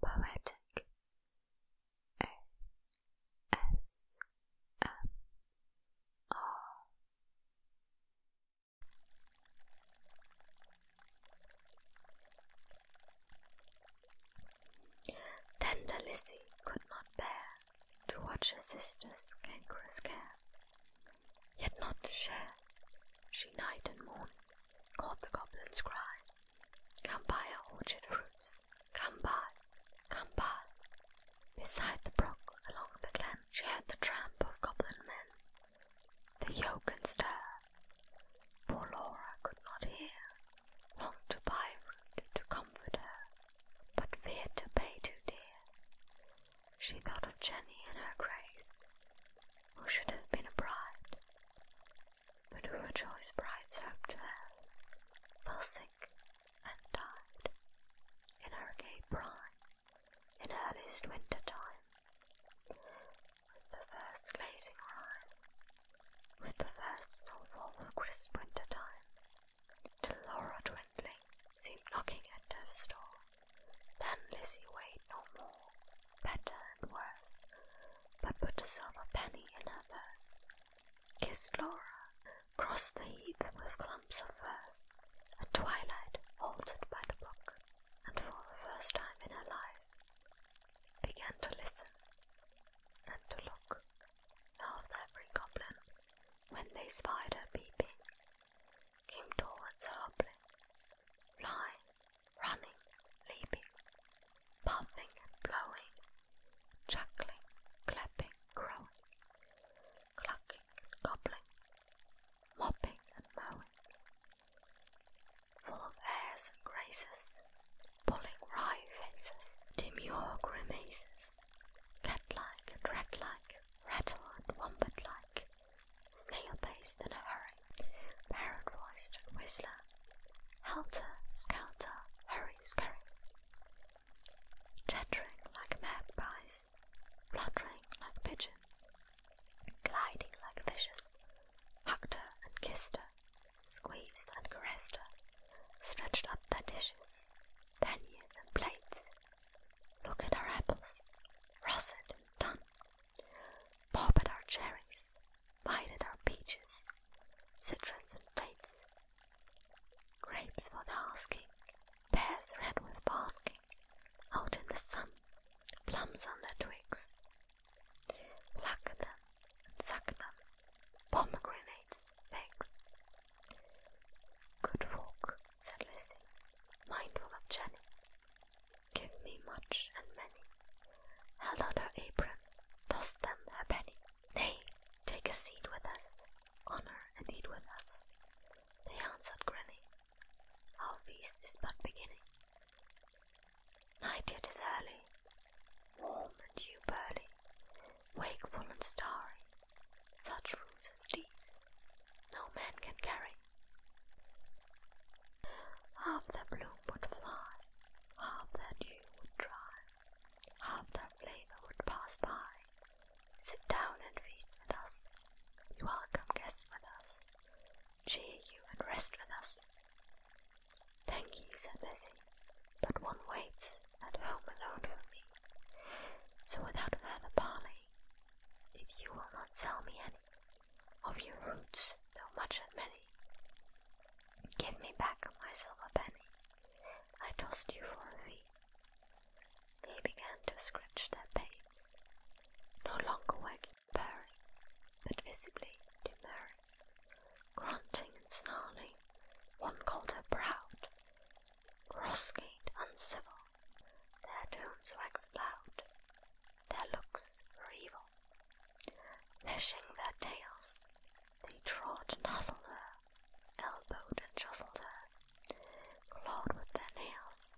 Poetic O S M R Tender Lizzie could not bear to watch her sister's cankerous care, yet not to share, she night and morn called the goblin's cry. Come buy our orchard fruits, come buy, come buy. Beside the brook, along the glen, she heard the tramp of goblin men. the yoke and stir. Poor Laura could not hear, longed to buy fruit to comfort her, but feared to pay too dear. She thought of Jenny in her grave, who should have been a bride, but who for choice brides hope to have, fell sick and died in her gay prime, in earliest winter time, with the first glazing rime, with the first snowfall of crisp winter time, till Laura Dwindling seemed knocking at her door. Then Lizzie weighed no more, better and worse, but put a silver penny in her purse, kissed Laura, crossed the heath with clumps of furze. At twilight, halted by the brook, and for the first time in her life, began to listen and to look. Of every goblin, when they spied her peeping, came towards her flying, running, leaping, puffing and blowing, chuckling, clapping, crowing, clucking and gobbling, mopping and mowing, full of airs and graces, pulling wry faces, demure grimaces, cat-like and rat-like, rattle and wombat-like, snail-paced in a hurry, parrot-voiced and whistler, helter, skelter, hurry-scurry, chattering like magpies, fluttering like pigeons, gliding like fishes, hugged her and kissed her, squeezed and caressed her, stretched up dishes, panniers and plates, look at our apples, russet and dun, Pop at our cherries, bite at our peaches, citrons and dates, grapes for the asking, pears red with basking, out in the sun, plums on their twigs. Pluck them and suck them, pomegranates, figs. Good fork, said Lizzie, mindful of Jenny. Give me much and many. Held out her apron, toss them a penny. Nay, take a seat with us, honor and eat with us. They answered, grinning. Our feast is but beginning. Night yet is early, warm and you burly, wakeful and starry. Such rules as these no man can carry. Half the bloom would fly, half the dew would dry, half the flavor would pass by. Sit down and feast with us, you welcome guests with us, cheer you and rest with us. Thank you, said Lizzie, but one waits at home alone for me. So without further parley, if you will not sell me any of your roots, though much and many, give me back my silver penny I tossed you for a fee. They began to scratch their pates, no longer wagging and purring, but visibly demurring, grunting and snarling. One called her proud, cross-gate uncivil, their tones waxed loud, their looks were evil. Lashing their tails, they trod and hustled her, elbowed and jostled her, clawed with their nails,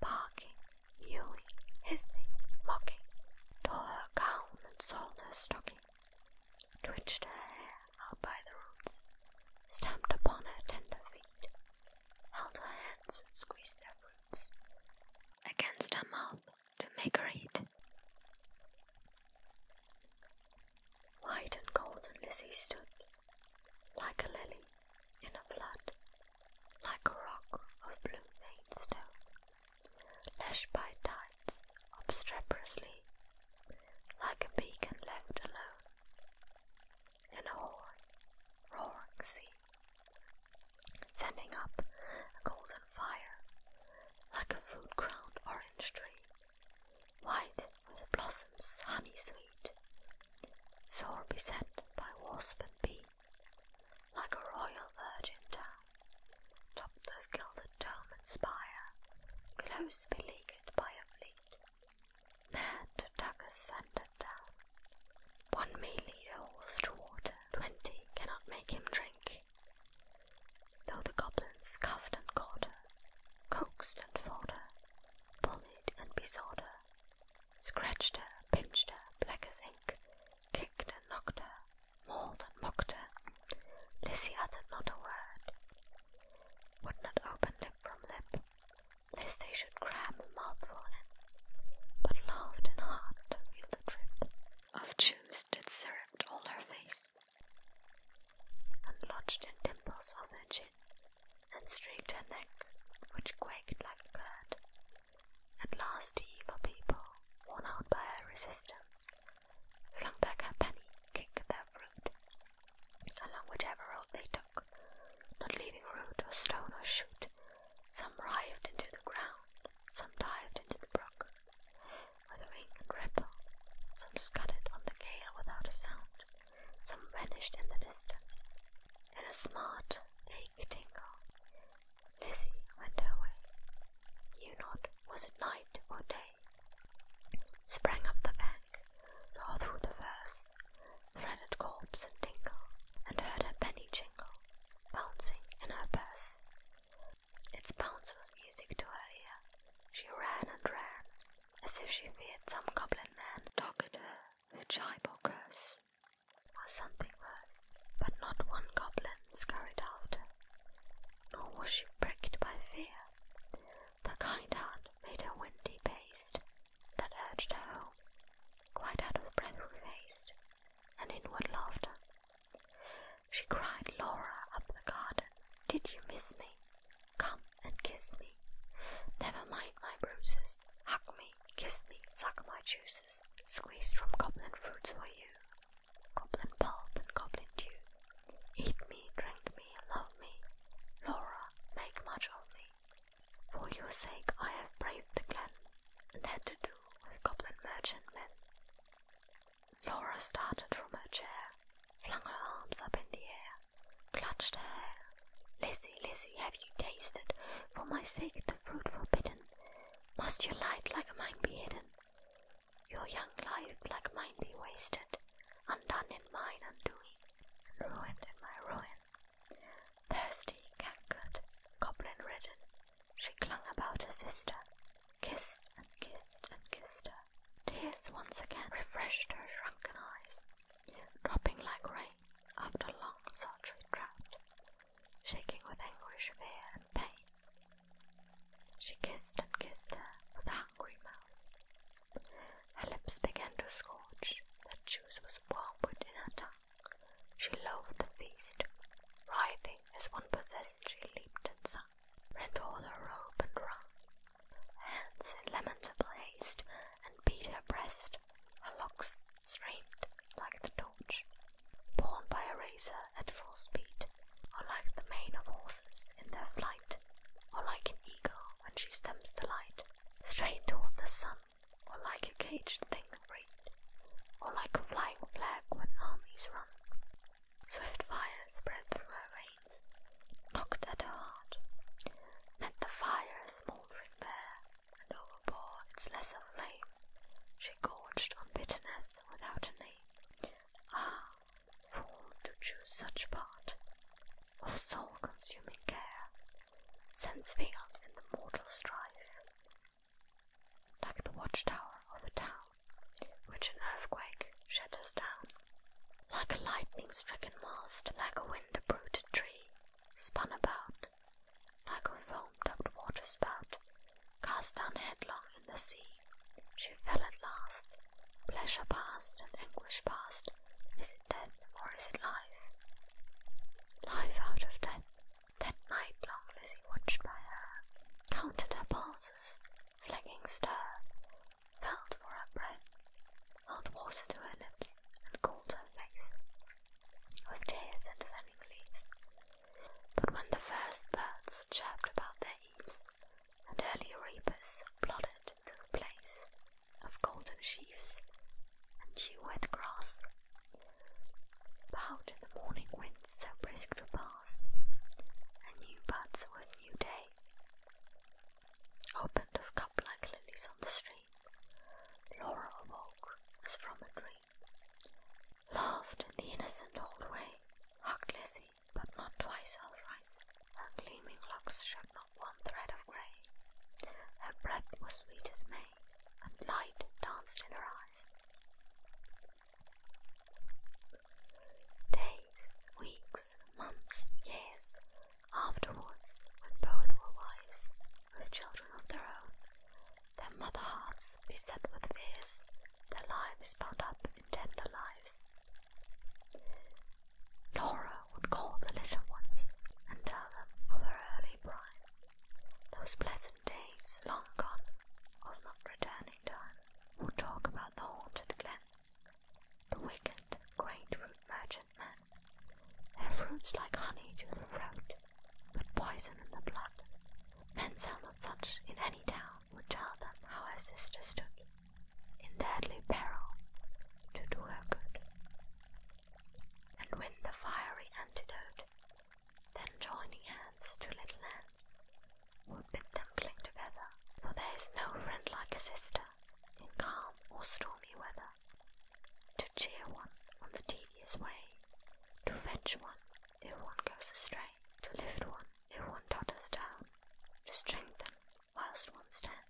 barking, yowling, hissing, mocking, tore her gown and soiled her stocking, twitched her hair out by the roots, stamped upon her tender feet. Held her hands and squeezed their roots against her mouth to make her eat. White and golden Lizzie stood, like a lily in a flood, like a rock of blue veined stone, lashed by tides obstreperously, like a beacon left alone. In a horn, roaring sea, sending up a golden fire like a fruit crowned orange tree, white with blossoms honey sweet, sore beset by wasp and bee, like a royal virgin town, topped with gilded dome and spire, close beleaguered by a fleet there to Tucker's scented down. One may lead a horse to water, twenty cannot make him drink. Though the goblins scuffed and caught her, coaxed and fought her, bullied and besought her, scratched her, pinched her, black as ink, kicked and knocked her, mauled and mocked her, Lizzie uttered not a word would not open lip from lip, lest they should cram a mouthful in, but laughed in heart to feel the drip of juice that syruped all her face, and lodged in dimples of her chin, and streaked her neck, which quaked like a curd. At last the evil people, worn out by her resistance, flung back her penny, kicked their fruit, along whichever road they took, not leaving root or stone or shoot. Some writhed into the ground, some dived into the brook with and ripple, some scudded on the gale without a sound, some vanished in the distance. In a smart, ache tingle, Lizzie went her way, You not was it night or day sprang up the bank, tore through the verse, threaded corpse and dingle, and heard her penny jingle, bouncing in her purse. Its bounce was music to her ear. She ran and ran, as if she feared some goblin man dogged her with jibe or curse, or something worse. But not one goblin scurried after, nor was she pricked by fear. The kind heart made her windy paste, that urged her home. Quite out of breath with haste and inward laughter. She cried, Laura, up the garden, did you miss me? Come and kiss me. Never mind my bruises. Hug me, kiss me, suck my juices. Squeezed from goblin fruits for you. Goblin pulp and goblin dew. Eat me, drink me, love me, Laura, make much of me. For your sake I have braved the glen, and had to do with goblin merchant men. Laura started from her chair, flung her arms up in the air, clutched her hair. Lizzie, Lizzie, have you tasted, for my sake, the fruit forbidden? Must your light like mine be hidden? Your young life, like mine, be wasted, undone in mine undoing, ruined in my ruin. Thirsty, cankered, goblin ridden, she clung about her sister, kissed and kissed and kissed her. Tears once again refreshed her shrunken eyes, dropping like rain after long, sultry drought, shaking with anguish, fear, and pain. She kissed and kissed her with a hungry mouth. Her lips began to scorch, the juice was wormwood in her tongue. She loathed the feast. Writhing as one possessed, she leaped and sung, rent all her robe and wrung. Her hands in lamentable haste, and beat her breast. Her locks streamed like the torch, borne by a razor at full speed. Or like the mane of horses in their flight, or like an eagle when she stems the light, straight toward the sun, or like a caged thing freed, or like a flying flag when armies run. Swift fire spread through her veins, knocked at her heart, met the fire smouldering there, and overbore its lesser flame. She gorged on bitterness without a name. Ah, fool to choose such part of soul-consuming care, sense failed in the mortal strife, like the watchtower of the town, which an earthquake shatters down, like a lightning-stricken mast, like a wind-uprooted tree, spun about, like a foam-dubbed water spout, Cast down headlong in the sea, she fell at last. Pleasure past and anguish past, is it death or is it life? Life out of death. That night long Lizzie watched by her, counted her pulses, flagging stir, felt for her breath, held water to her lips, and cooled her face with tears and fanning leaves. But when the first birds chirped about their eaves, and early reapers plodded through the place of golden sheaves and dew-wet grass. But how did the morning wind so brisk to pass? And new buds of a new day opened of cup like lilies on the stream. Laura awoke as from a dream, laughed in the innocent old way, hugged Lizzie but not twice her rice. Her gleaming locks showed not one thread of grey. Her breath was sweet as May, and light danced in her eyes. Days, weeks, months, years afterwards, when both were wives, with children of their own, their mother hearts beset with fears, their lives bound up in tender lives. Laura would call the little ones and tell them of her early bride, those pleasant days long gone of not returning time, We'll talk about the haunted glen, the wicked, great fruit merchant men, their fruits like honey to the throat, but poison in the blood. Men sell not such in any town would tell them how her sister stood in deadly peril to do her good, and win the fiery antidote, then joining hands to little hands, would bid them cling together, for there is no friend like a sister in calm or stormy weather, to cheer one on the tedious way, to fetch one if one goes astray to lift one if one totters down, to strengthen whilst one stands.